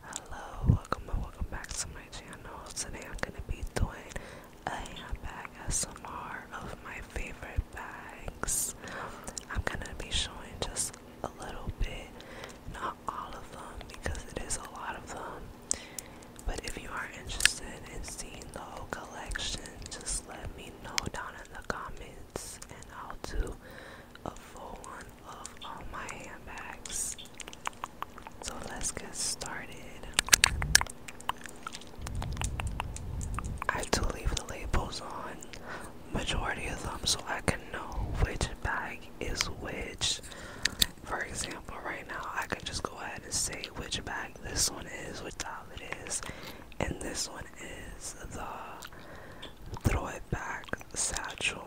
Hello, welcome and welcome back to my channel. Today I'm gonna be doing a handbag SMR of my favorite bags. I'm gonna be showing just a little bit, not all of them because it is a lot of them. But if you are interested in seeing the whole collection, just let me know down in the comments and I'll do a full one of all my handbags. So let's get started. I have to leave the labels on majority of them so I can know which bag is which. For example, right now I can just go ahead and say which bag this one is, which doll it is, and this one is the throw it back satchel.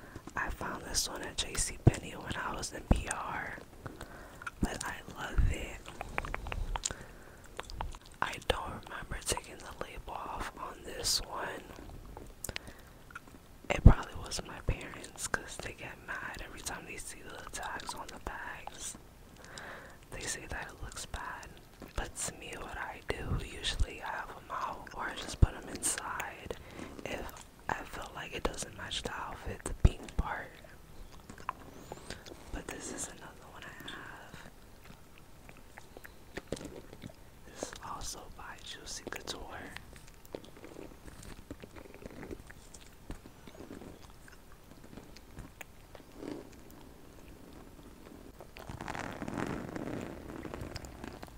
I found this one at J.C. Penney when I was in PR, but I love it. I don't remember taking the label off on this one. It probably was my parents because they get mad every time they see the tags on the bags. They say that it looks bad, but to me, what I I do usually have them out or I just put them inside if I feel like it doesn't match the outfit, the pink part. But this is another one I have. This is also by Juicy Couture.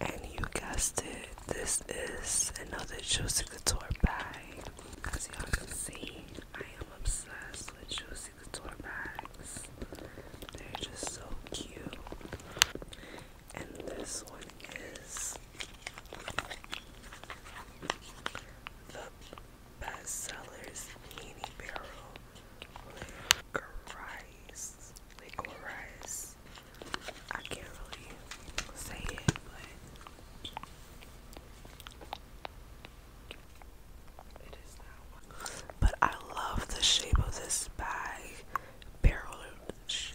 And you guessed it, this is another Juicy Couture bag. As y'all can see, I am obsessed with Juicy Couture bags. They're just so cute. And this one is the bestsellers mini barrel. Christ liquid rice. I can't really say it, But I love the shape of this bag, barrel shape.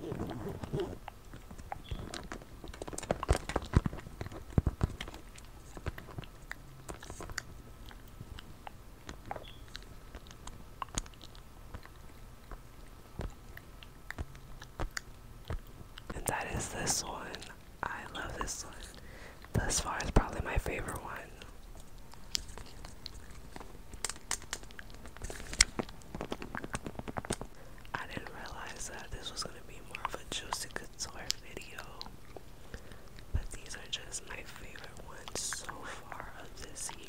And that is this one. I love this one. Thus far, it's probably my favorite one. I didn't realize that this was gonna be more of a juicy Guitar video, but these are just my favorite ones so far of this year.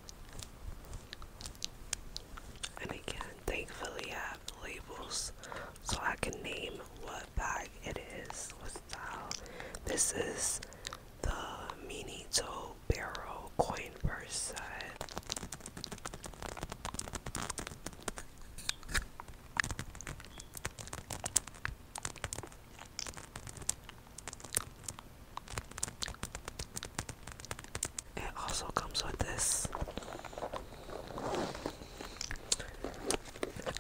And again, thankfully I have labels so I can name what bag it is, what style. This is the Mini Barrel Coin Purse set. It also comes with this.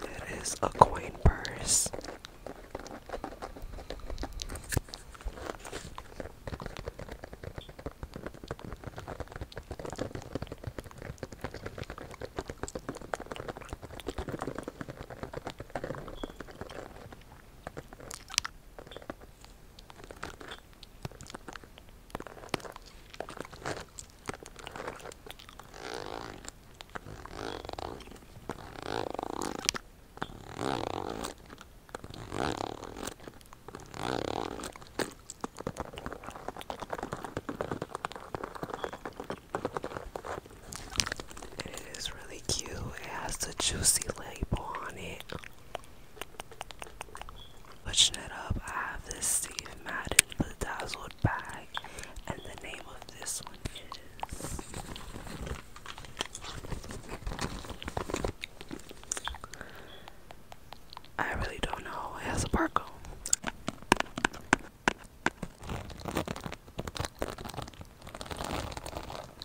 It is a coin purse. It is really cute. It has the juicy label on it. Switching it up, I have this Steve Madden bedazzled bag, and the name of this one is I really don't know. It has a barcode.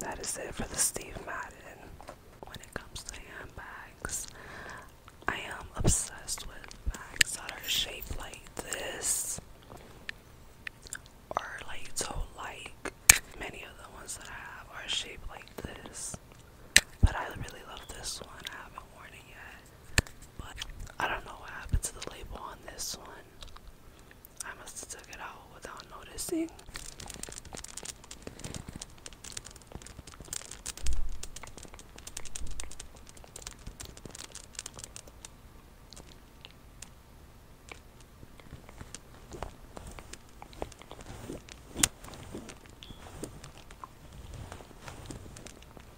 That is it for the Steve Madden. When it comes to handbags, I am obsessed with bags that are shaped like this or like so like many of the ones that I have are shaped like this. But I really love this one. I haven't worn it yet. But I don't know what happened to the label on this one. I must have took it out without noticing.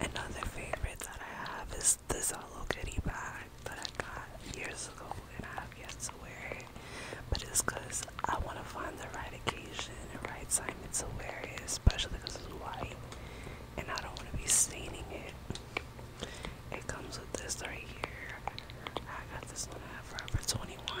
Another favorite that I have is this Hello Kitty bag that I got years ago and I have yet to wear it. But it's because I want to find the right occasion and right time to wear it, especially because it's white and I don't want to be staining it. It comes with this right here. I got this one at Forever 21.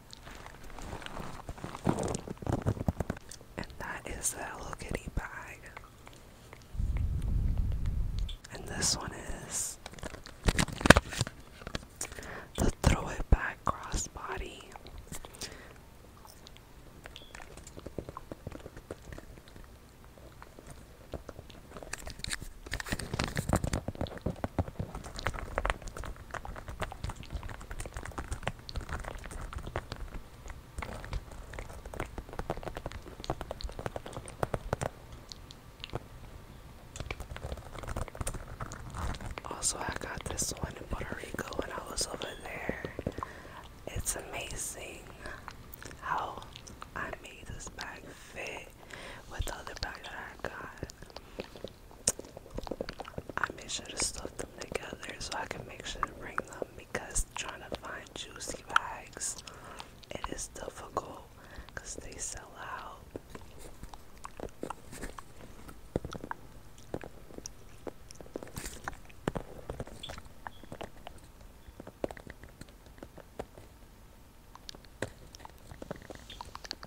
And that is the Hello Kitty bag. And this one is the Throw It Back Crossbody. Also, I got this one in Puerto Rico when I was over there. It's amazing how I made this bag fit with the other bag that I got. I made sure to stuff them together so I can make sure to bring them because trying to find juicy bags it is difficult because they sell out.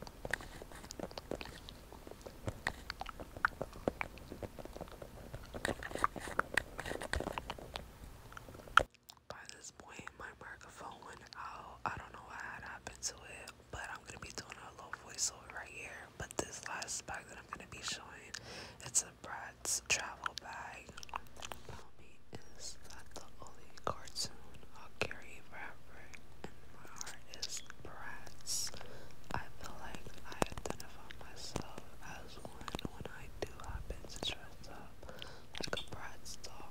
By this point, my microphone went out. I don't know what had happened to it, but I'm gonna be doing a little voiceover right here. But this last bag that I'm gonna be showing, it's a Brad's travel bag. Tell me, is that the only cartoon I'll carry forever? my heart is brats. I feel like I identify myself as one when I do happen to dress up like a brat's doll.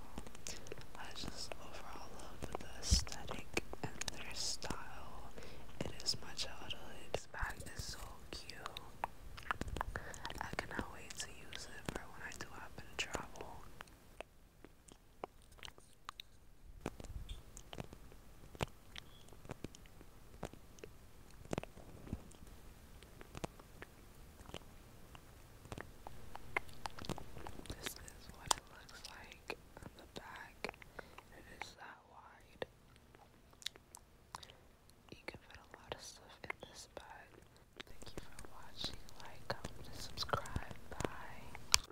I just overall love the aesthetic and their style. It is my childhood. This bag is so cute. I cannot wait to use it for when I do happen to travel. This is what it looks like on the back. It is that wide. You can put a lot of stuff in this bag. Thank you for watching. Like, comment, subscribe. Bye.